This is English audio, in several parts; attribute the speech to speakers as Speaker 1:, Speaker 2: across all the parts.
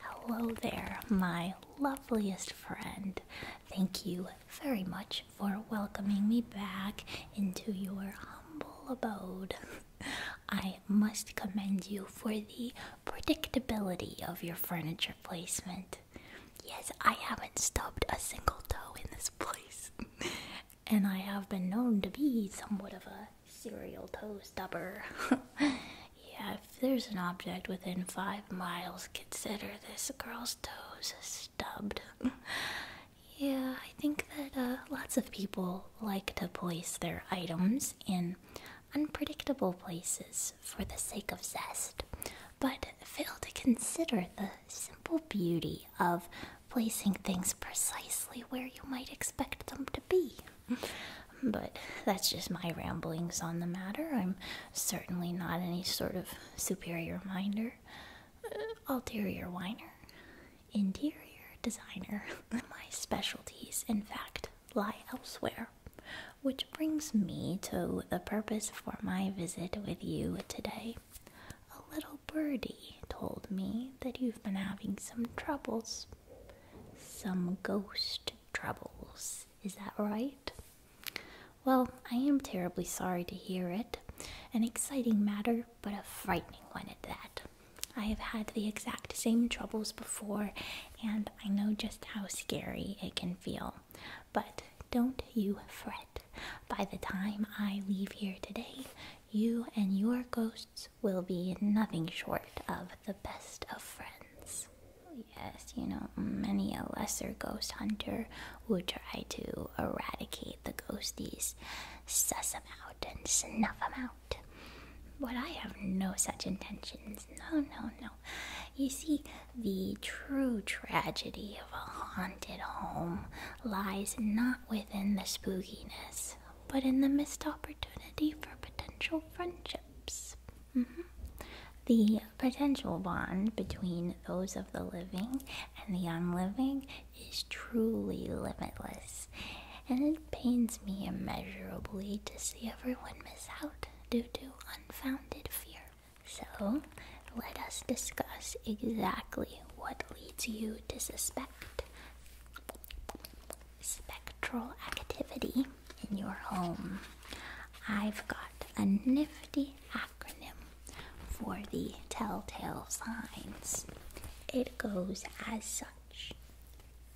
Speaker 1: Hello there, my loveliest friend. Thank you very much for welcoming me back into your humble abode. I must commend you for the predictability of your furniture placement. Yes, I haven't stubbed a single toe in this place, and I have been known to be somewhat of a cereal toe stubber. yeah, if there's an object within five miles, consider this girl's toes stubbed. yeah, I think that uh, lots of people like to place their items in unpredictable places for the sake of zest, but fail to consider the simple beauty of placing things precisely where you might expect them to be. But that's just my ramblings on the matter. I'm certainly not any sort of superior minder, uh, ulterior whiner, interior designer. my specialties, in fact, lie elsewhere. Which brings me to the purpose for my visit with you today. A little birdie told me that you've been having some troubles. Some ghost troubles. Is that right? Well, I am terribly sorry to hear it. An exciting matter, but a frightening one at that. I have had the exact same troubles before, and I know just how scary it can feel. But don't you fret. By the time I leave here today, you and your ghosts will be nothing short of the best of friends. Yes, you know, many a lesser ghost hunter would try to eradicate the ghosties, suss 'em out, and snuff 'em out. But I have no such intentions. No, no, no. You see, the true tragedy of a haunted home lies not within the spookiness, but in the missed opportunity for potential friendships. Mm-hmm. The potential bond between those of the living and the unliving is truly limitless, and it pains me immeasurably to see everyone miss out due to unfounded fear. So, let us discuss exactly what leads you to suspect spectral activity in your home. I've got a nifty acronym for the telltale signs. It goes as such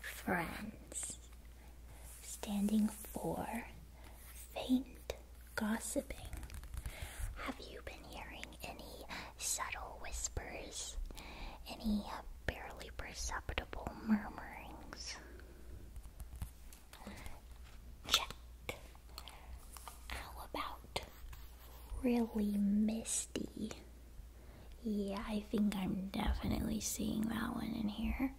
Speaker 1: Friends, standing for faint gossiping. Have you been hearing any subtle whispers? Any barely perceptible murmurings. Check. How about really misty? Yeah, I think I'm definitely seeing that one in here.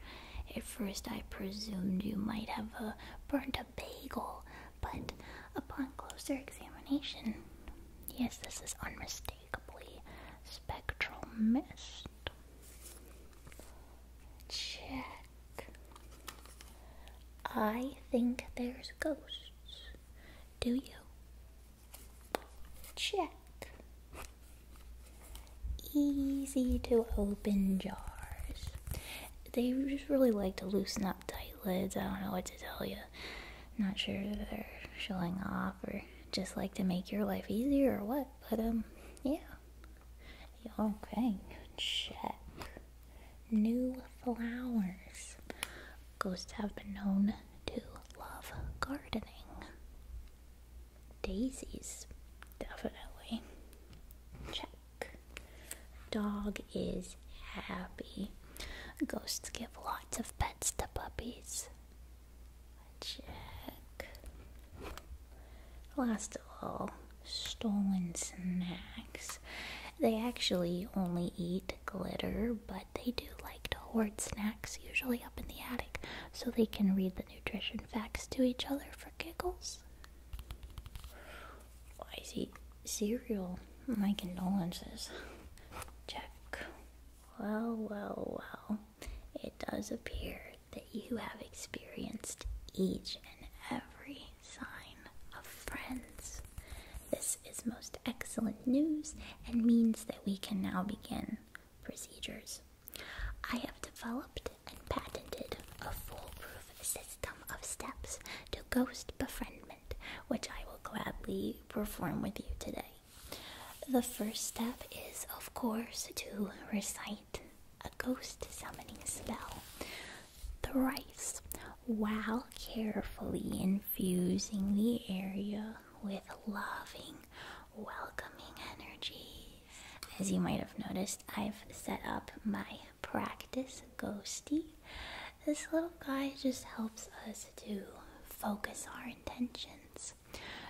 Speaker 1: At first, I presumed you might have uh, burnt a bagel, but upon closer examination, yes, this is unmistakable unmistakably spectral mist. Check. I think there's ghosts. Do you? Check. Easy to open jars. They just really like to loosen up tight lids. I don't know what to tell you. Not sure if they're showing off or just like to make your life easier or what. But, um, yeah. Okay, check. New flowers. Ghosts have been known to love gardening. Daisies, definitely. Check. Dog is happy. Ghosts give lots of pets to puppies. Check. Last of all, stolen snacks. They actually only eat glitter, but they do like to hoard snacks, usually up in the attic, so they can read the nutrition facts to each other for giggles. Why is he cereal. My condolences. Check. Well, well, well it does appear that you have experienced each and every sign of friends. This is most excellent news and means that we can now begin procedures. I have developed and patented a foolproof system of steps to ghost befriendment, which I will gladly perform with you today. The first step is, of course, to recite a ghost summoning spell thrice while carefully infusing the area with loving, welcoming energies. As you might have noticed, I've set up my practice ghosty. This little guy just helps us to focus our intentions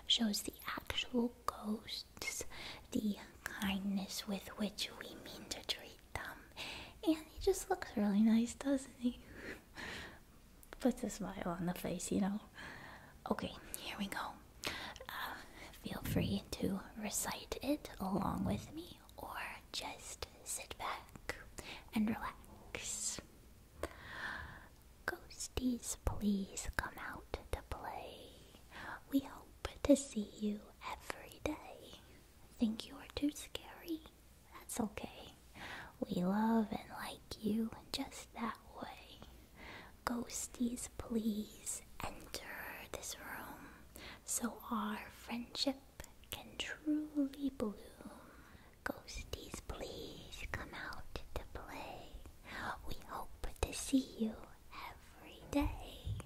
Speaker 1: shows the actual ghosts the kindness with which we mean to treat them. And he just looks really nice, doesn't he? Puts a smile on the face, you know. Okay, here we go. Uh, feel free to recite it along with me or just sit back and relax. Ghosties, please come out to play. We hope to see you every day. Think you're too scary? That's okay. We love and like you just that way. Ghosties, please enter this room so our friendship can truly bloom. Ghosties, please come out to play. We hope to see you every day.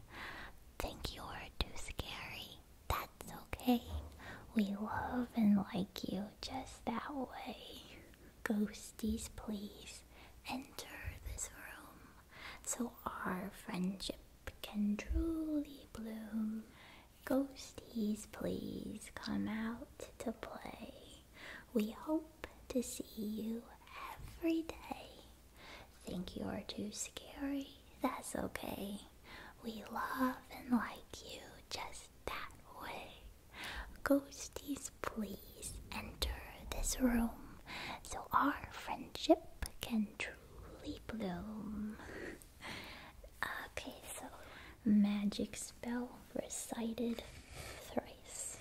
Speaker 1: Think you're too scary? That's okay. We love and like you just that way. Ghosties, please enter this room so our friendship can truly bloom. Ghosties, please come out to play. We hope to see you every day. Think you're too scary? That's okay. We love and like you just that way. Ghosties, please enter this room so our friendship can truly bloom. okay, so magic spell recited thrice.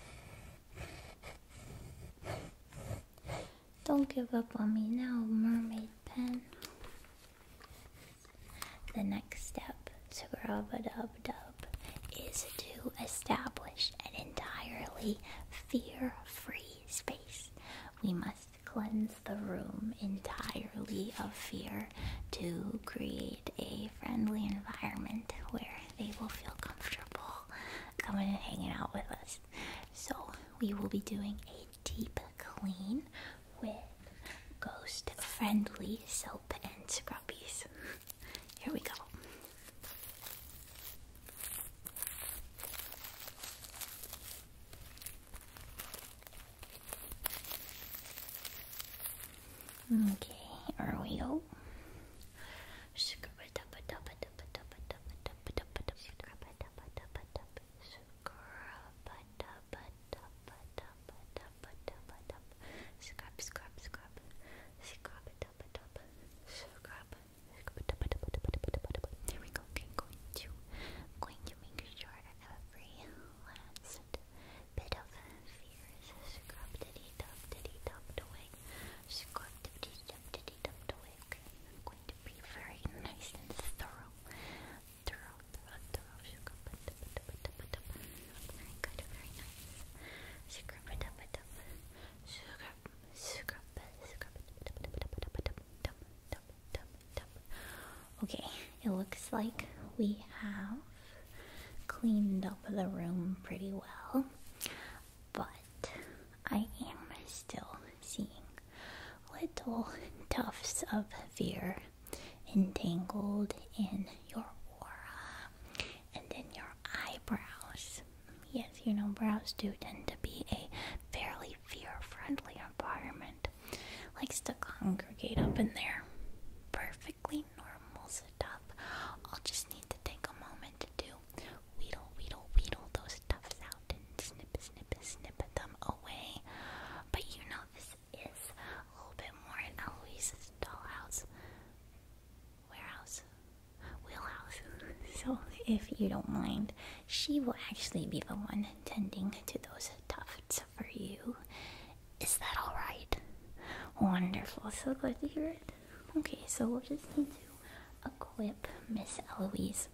Speaker 1: Don't give up on me now, mermaid pen. The next step, to grab a dub dub is to establish an entirely fear-free space. We must cleanse the room entirely of fear to create a friendly environment where they will feel comfortable coming and hanging out with us. So, we will be doing a deep clean with ghost friendly soap and scrubbies. Here we go. Okay, are we all? Scrub, we go. Okay, going to, going to make sure every last bit of fear is a scrub diddy dub diddy dub away. Scrub diddy dub diddy dub away. I'm going to be very nice and thorough. Thorough, thorough, thorough. Scrub dub dub dub dub. Very good, very nice. Scrub dub dub. Scrub, scrub, scrub dub dub dub dub dub dub dub. Okay. It looks like we have cleaned up the room pretty well, but I am still seeing little tufts of fear entangled in your aura and in your eyebrows. Yes, you know, brows do tend to be a fairly fear friendly environment, likes to congregate up in there. Perfect perfectly normal stuff. I'll just need to take a moment to do weedle, weedle, weedle those tufts out and snip, snip, snip them away. But you know, this is a little bit more in Eloise's dollhouse, warehouse, wheelhouse. So, if you don't mind, she will actually be the one tending to those tufts for you. Is that alright? Wonderful. So glad to hear it. Okay, so we'll just need to equip Miss Eloise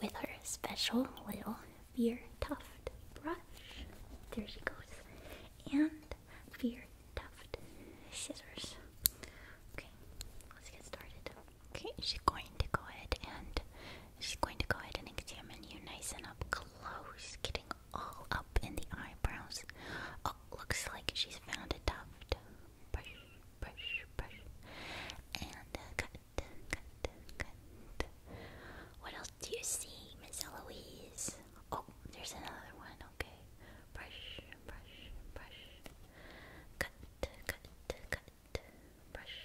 Speaker 1: with her special little fear tuft brush. There she goes. And fear tuft scissors. Okay, let's get started. Okay, she's going to go ahead and she's going to go ahead and examine you nice and up close, getting all up in the eyebrows. Oh, looks like she's found a tuft. Brush, brush, brush. And uh, cut, cut, cut. What else do you see, Miss Eloise? Oh, there's another one. Okay. Brush, brush, brush. Cut, cut, cut. Brush,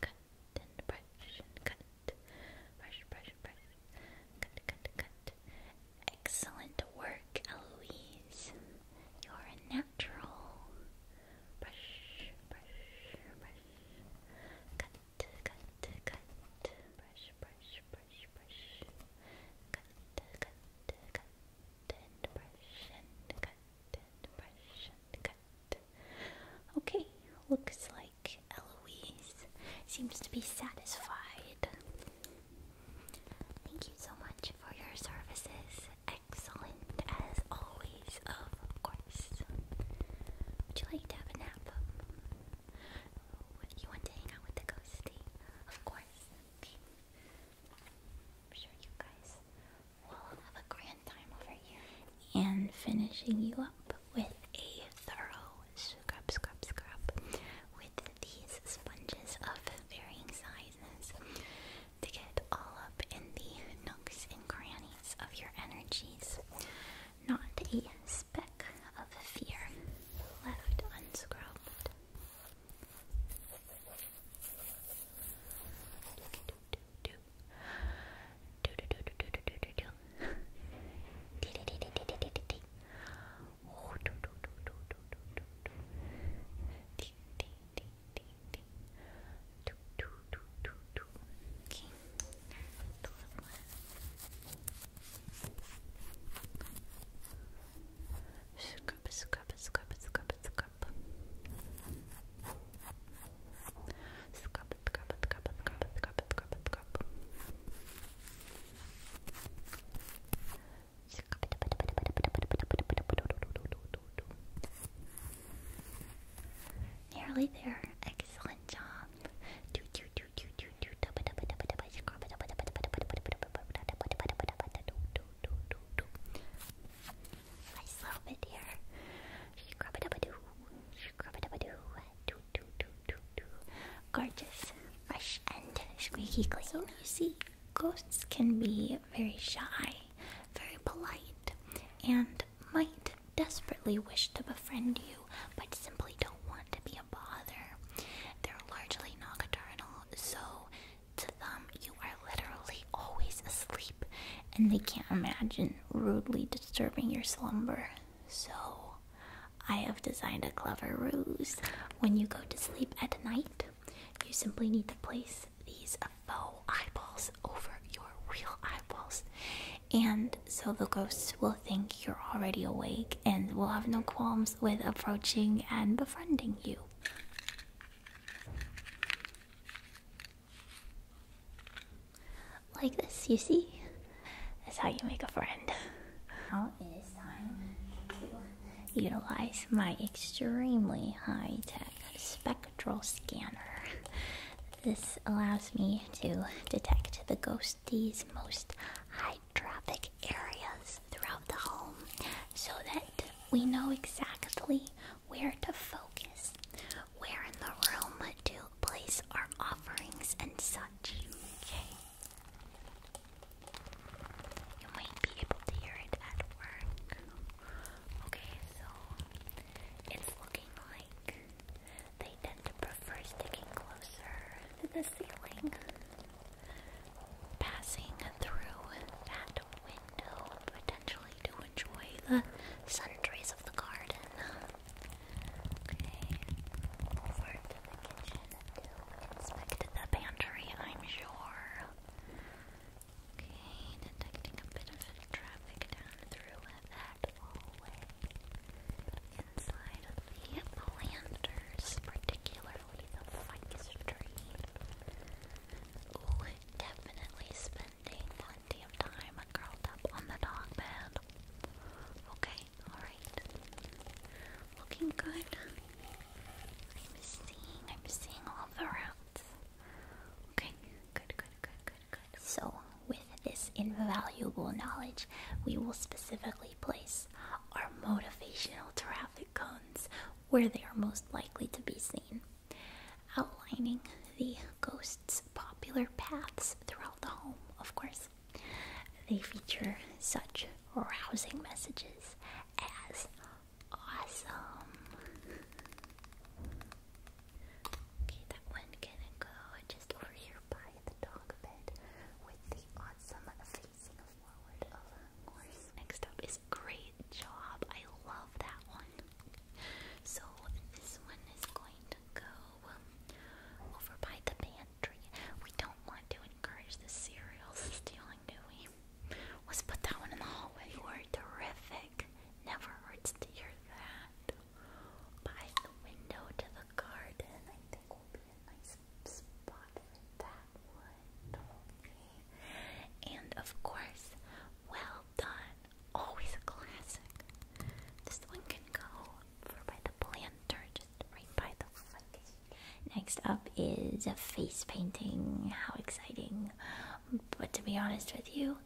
Speaker 1: cut, and brush, and cut brush, brush, brush, cut, cut, cut. Excellent work, Eloise. You're natural. Brush, brush, brush, cut, cut, cut. Brush, brush, brush, brush, cut, cut, cut, and brush, cut, brush, cut. Okay, looks like like seems to be satisfied. Thank you so much for your services. Excellent as always, of course. Would you like to have a nap? You want to hang out with the ghosty? Of course. Okay. I'm sure you guys will have a grand time over here. And finishing you up with a thorough scrub, scrub, scrub with these sponges of varying sizes to get all up in the nooks and crannies of your energies. Not a speck of fear left unscrubbed. Scrub, scrub, scrub, scrub, scrub. Scrub, scrub, scrub, scrub, scrub, scrub, scrub. Nearly there. Excellent job. I love it here. up do, do, do, do, do. Gorgeous, fresh, and squeaky clean. So you see, ghosts can be very shy, very polite, and might desperately wish to befriend you, but simply don't want to be a bother. They're largely nocturnal, so to them, you are literally always asleep, and they can't imagine rudely disturbing your slumber. So, I have designed a clever ruse. When you go to sleep at night, you simply need to place these faux eyeballs over your real eyeballs. And so the ghosts will think you're already awake and will have no qualms with approaching and befriending you. Like this, you see? That's how you make a friend. Now it is time to utilize my extremely high tech spectral scanner. This allows me to detect the ghosties most hydropic areas throughout the home so that we know exactly where to focus, where in the room to place our offerings and such. Okay. You might be able to hear it at work. Okay, so it's looking like they tend to prefer sticking closer to the ceiling, passing through that window potentially to enjoy the sun of the garden. Okay, over to the kitchen to inspect the pantry, I'm sure. Okay, detecting a bit of traffic down through that hallway. Inside of the planters, particularly the ficus tree. definitely spending plenty of time curled up on the dog bed. Okay, Alright, Looking good. I'm seeing, I'm seeing all the routes. Okay, good, good, good, good, good. So, with this invaluable knowledge, we will specifically place our motivational traffic cones where they are most likely to be seen, outlining the ghost's popular paths throughout the home, of course. They feature such rousing messages as awesome. Okay, that one can go just over here by the dog bed with the awesome facing forward of her Next up is great job. I love that one. So this one is going go um, over by the pantry. We don't want to encourage the cereal stealing, do we? Let's put that one in the hallway. You are terrific. Never hurts to hear that. By the window to the garden, I think will be a nice spot for that one. And of course, well done. Always a classic. This one can go over by the planter, just right by the Next up is a face painting. How exciting! But to be honest with you,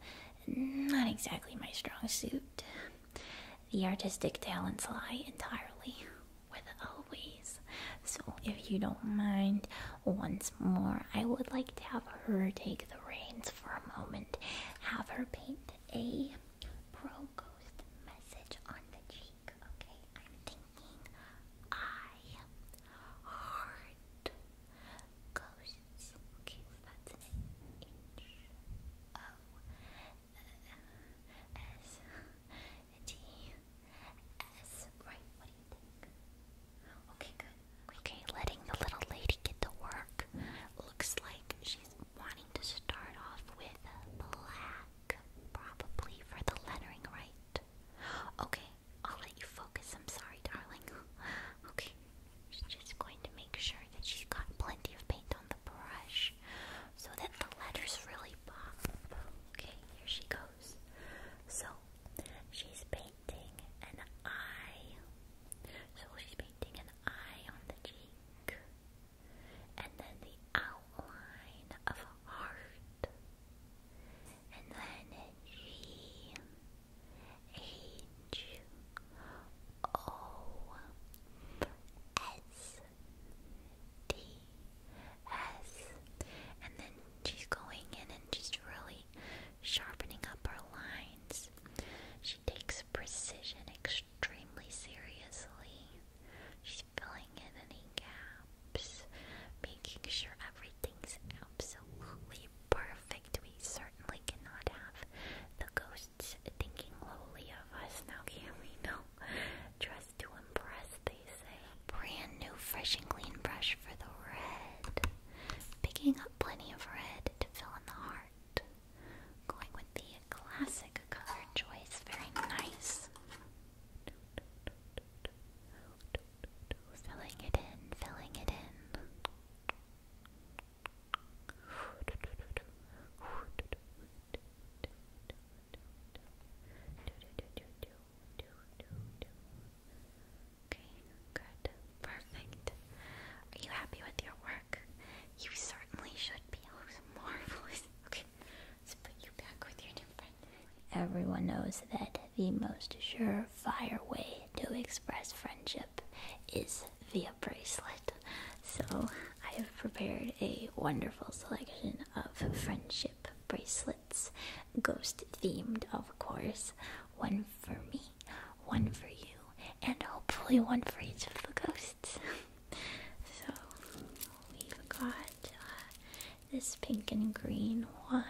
Speaker 1: not exactly my strong suit. The artistic talents lie entirely with Eloise. So, if you don't mind, once more, I would like to have her take the reins for a moment. Have her paint a Pro Ghost message on the cheek. Okay, I'm thinking I heart ghosts. Okay, so that's an H O S T S. Right, what do you think? Okay, good. Okay, letting the little lady get to work. Looks like she's one to start off with black, probably for the lettering, right? Okay, I'll let you focus. I'm sorry, darling. Okay, i just going to make sure that she's got plenty of paint on the brush so that the letters really pop. Okay, here she goes. So, she's painting an eye. So she's an eye on the cheek, and then the outline of a heart, and then G H O S D S, and then she's going in and just really sharpening up her lines. She takes precision extremely seriously. She's filling in any gaps, making sure everything's absolutely perfect. We certainly cannot have the ghosts thinking lowly of us now, can we? No. Dress to impress, they say. Brand new fresh and clean brush for the red. Picking up plenty of red to fill in the heart. Going with the classic color choice, very nice. Filling it in, filling it in. Okay, good. Perfect. Are you happy with your work? Everyone knows that the most surefire way to express friendship is via bracelet. So I have prepared a wonderful selection of friendship bracelets, ghost themed, of course. One for me, one for you, and hopefully one for each of the ghosts so we've got uh, this pink and green one.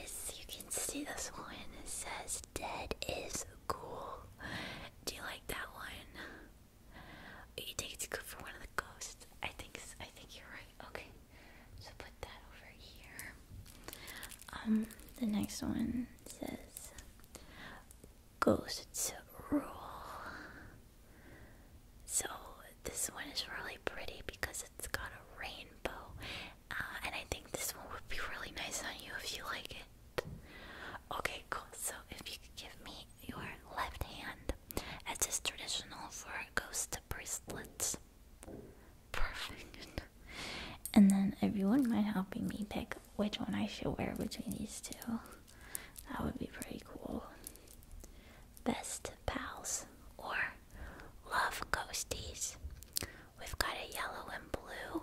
Speaker 1: This you can see this one. It says "Dead is cool." Do you like that one? You think it's cool for one of the ghosts? I think I think you're right. Okay, so put that over here. Um, the next one says ghosts rule. So this one is really pretty because it's got a rainbow, uh, and I think this one would be really nice on you if you like it. Okay, cool. So if you could give me your left hand, as is traditional for ghost bracelets. Perfect. And then if you wouldn't mind helping me pick which one I should wear between these two, that would be pretty cool. Best pals or love ghosties. We've got a yellow and blue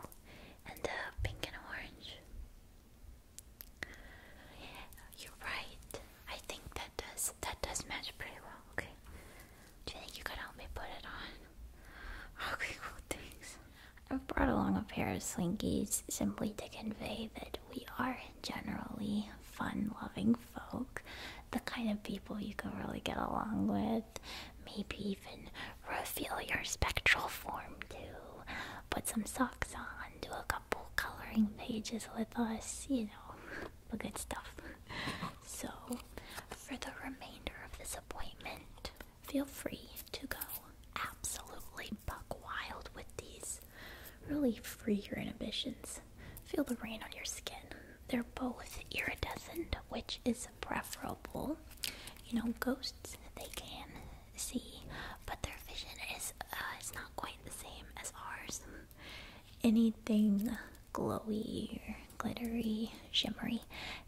Speaker 1: and a pink and orange. You're right. I think that does that does match pretty well. Okay. Do you think you could help me put it on? Okay, cool, thanks. I've brought along a pair of slinkies simply to convey that we are generally fun loving folk, the kind of people you can really get along with, maybe even reveal your spectral form to, put some socks on, do a couple coloring pages with us, you know, the good stuff. So, for the remainder of this appointment, feel free to go absolutely buck wild with these. Really free your inhibitions. Feel the rain on your skin. They're both iridescent, which is preferable. You know, ghosts, they can see, but their vision is uh, not quite the same as ours. Anything glowy or glittery shimmery,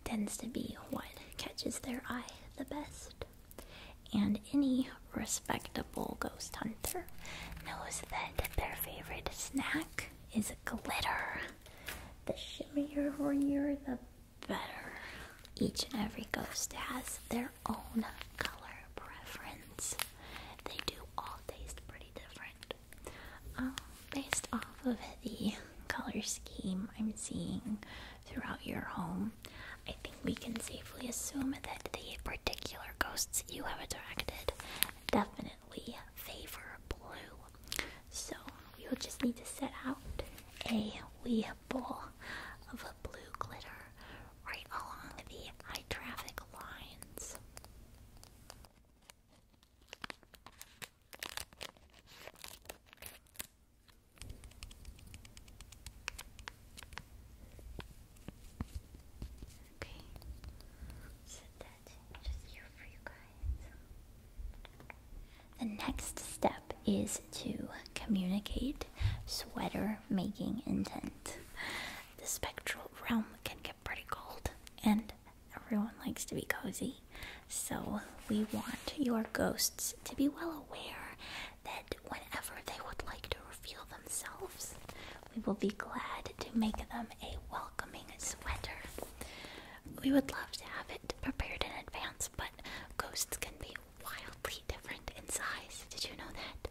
Speaker 1: tends to be what catches their eye the best. And any respectable ghost hunter knows that their favorite snack is glitter. The shimmerier the better. Each and every ghost has their own color preference. They do all taste pretty different. Um, based off of the color scheme I'm seeing throughout your home, I think we can safely assume that the particular ghosts you have attracted definitely favor blue. So we will just need to set out a wee bowl of blue glitter right along the high traffic lines. The next step is to communicate sweater making intent. The spectral realm can get pretty cold, and everyone likes to be cozy. So, we want your ghosts to be well aware that whenever they would like to reveal themselves, we will be glad to make them a welcoming sweater. We would love to have it prepared in advance, but ghosts can be wildly different in size. Did you know that?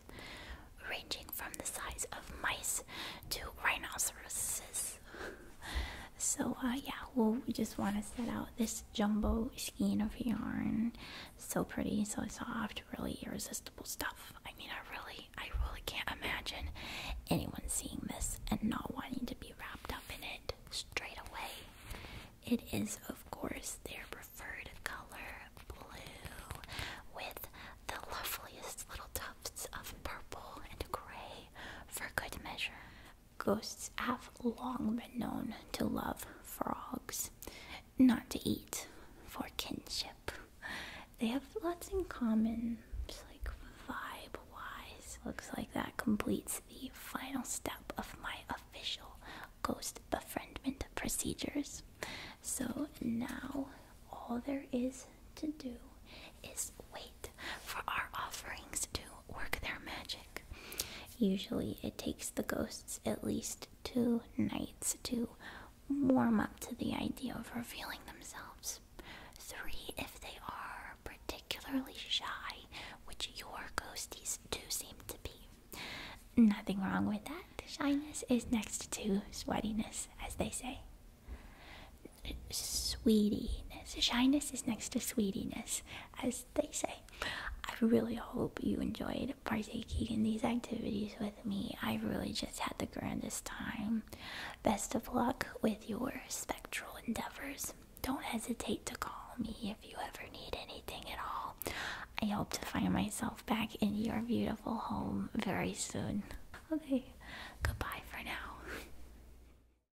Speaker 1: Ranging from the size of mice to rhinoceroses. So uh, yeah, well we just want to set out this jumbo skein of yarn. So pretty, so soft, really irresistible stuff. I mean, I really, I really can't imagine anyone seeing this and not wanting to be wrapped up in it straight away. It is, of course, their preferred color, blue, with the loveliest little tufts of purple and gray for good measure. Ghosts have long been known to love frogs, not to eat, for kinship. They have lots in common, like vibe wise. Looks like that completes the final step of my official ghost befriendment procedures. So now all there is to do is wait for our offerings to work their magic. Usually, it takes the ghosts at least two nights to warm up to the idea of revealing themselves. Three, if they are particularly shy, which your ghosties do seem to be. Nothing wrong with that. Shyness is next to sweatiness, as they say. Sweetiness. Shyness is next to sweetiness as they say. I really hope you enjoyed partaking in these activities with me. I really just had the grandest time. Best of luck with your spectral endeavors. Don't hesitate to call me if you ever need anything at all. I hope to find myself back in your beautiful home very soon. Okay, goodbye for now.